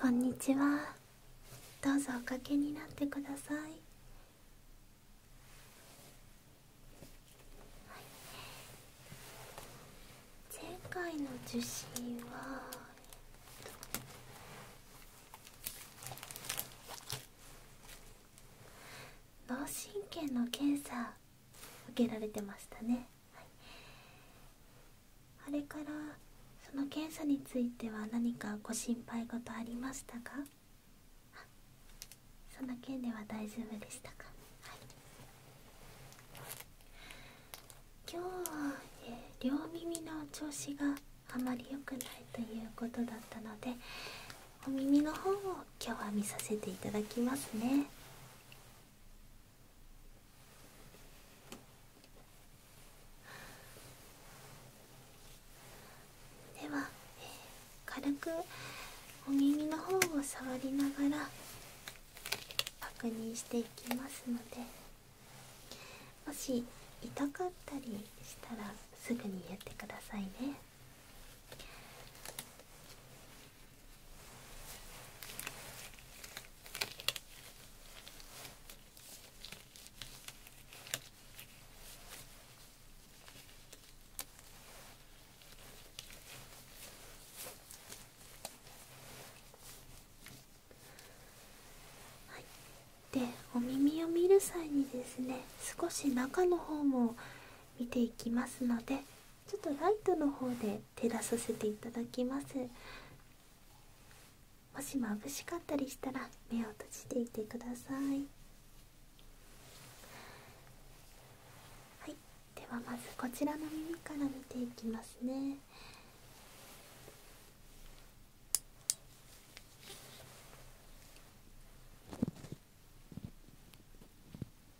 こんにちはどうぞおかけになってください、前回の受診は脳神経の検査受けられてましたねあれからその検査については何かご心配事ありましたかその件では大丈夫でしたか、はい、今日は、え両耳の調子があまり良くないということだったのでお耳の方を今日は見させていただきますねでは、軽くお耳の方を触りながら確認していきますのでもし痛かったりしたらすぐにやってくださいね。はい、でお耳を見る際にですね少し中の方も見ていきますのでちょっとライトの方で照らさせていただきますもし眩しかったりしたら目を閉じていてくださいはいではまずこちらの耳から見ていきますね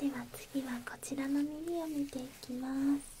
では次はこちらの耳を見ていきます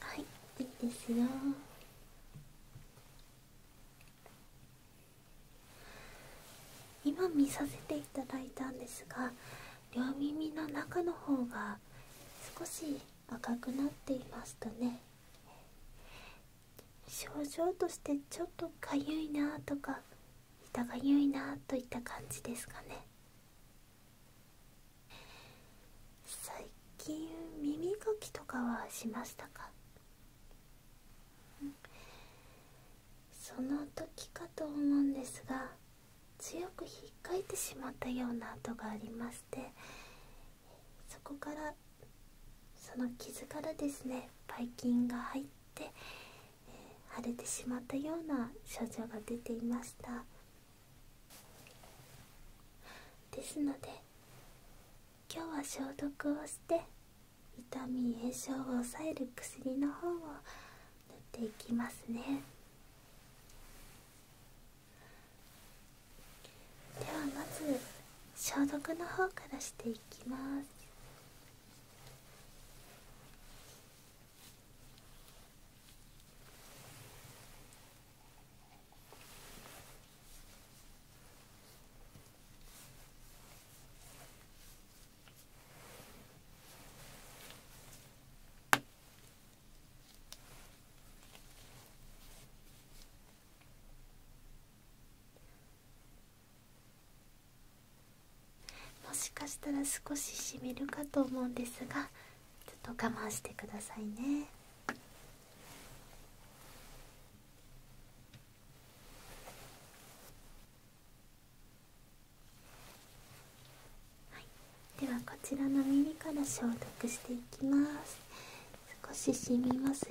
はいいいですよ今見させていただいたんですが両耳の中の方が少し赤くなっていましたね症状としてちょっとかゆいなとか痛がゆいなといった感じですかね最近耳かきとかはしましたかその時かと思うんですが強く引っかいてしまったような跡がありましてそこからその傷からですねばい菌が入って、え腫れてしまったような症状が出ていましたですので今日は消毒をして痛み炎症を抑える薬の方を塗っていきますねではまず消毒の方からしていきますもしかしたら少ししみるかと思うんですがちょっと我慢してくださいねではこちらの耳から消毒していきます少し染みますよ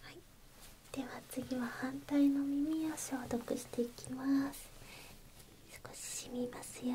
はい、では次は反対の耳を消毒していきます少ししみますよ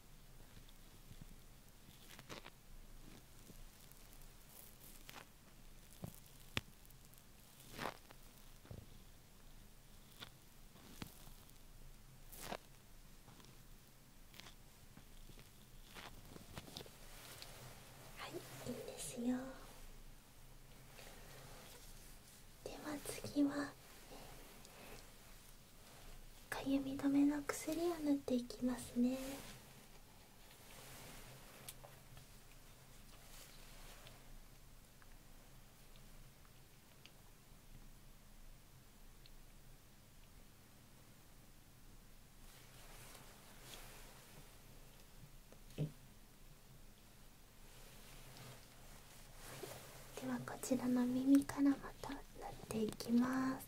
はいいいんですよでは次はかゆみ止めの薬を塗っていきますねではこちらの耳からまた塗っていきます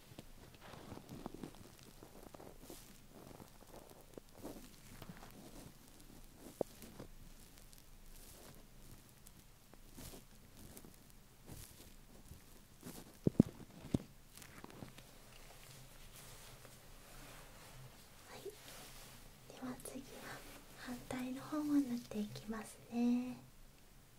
はい、では次は反対の方を縫っていきますね。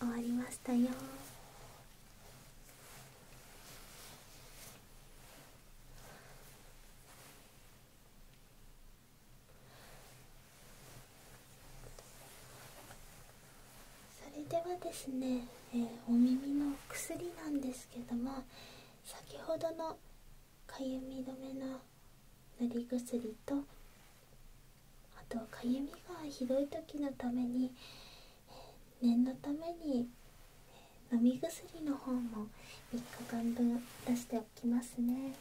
はい、終わりましたよそれではですね、えお耳の薬なんですけども先ほどのかゆみ止めの塗り薬とあとかゆみがひどい時のために、えー、念のために、え飲み薬の方も3日間分出しておきますね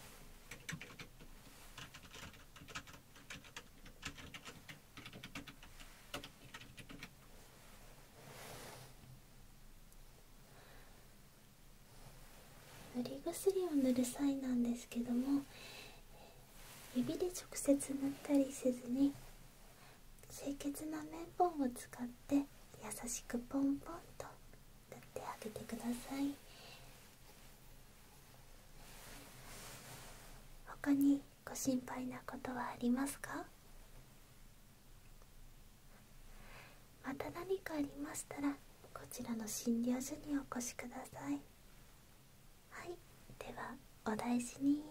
塗り薬を塗る際なんですけども指で直接塗ったりせずに清潔な綿棒を使って優しくポンポンと塗ってあげてください他にご心配なことはありますかまた何かありましたらこちらの診療所にお越しくださいはいではお大事に。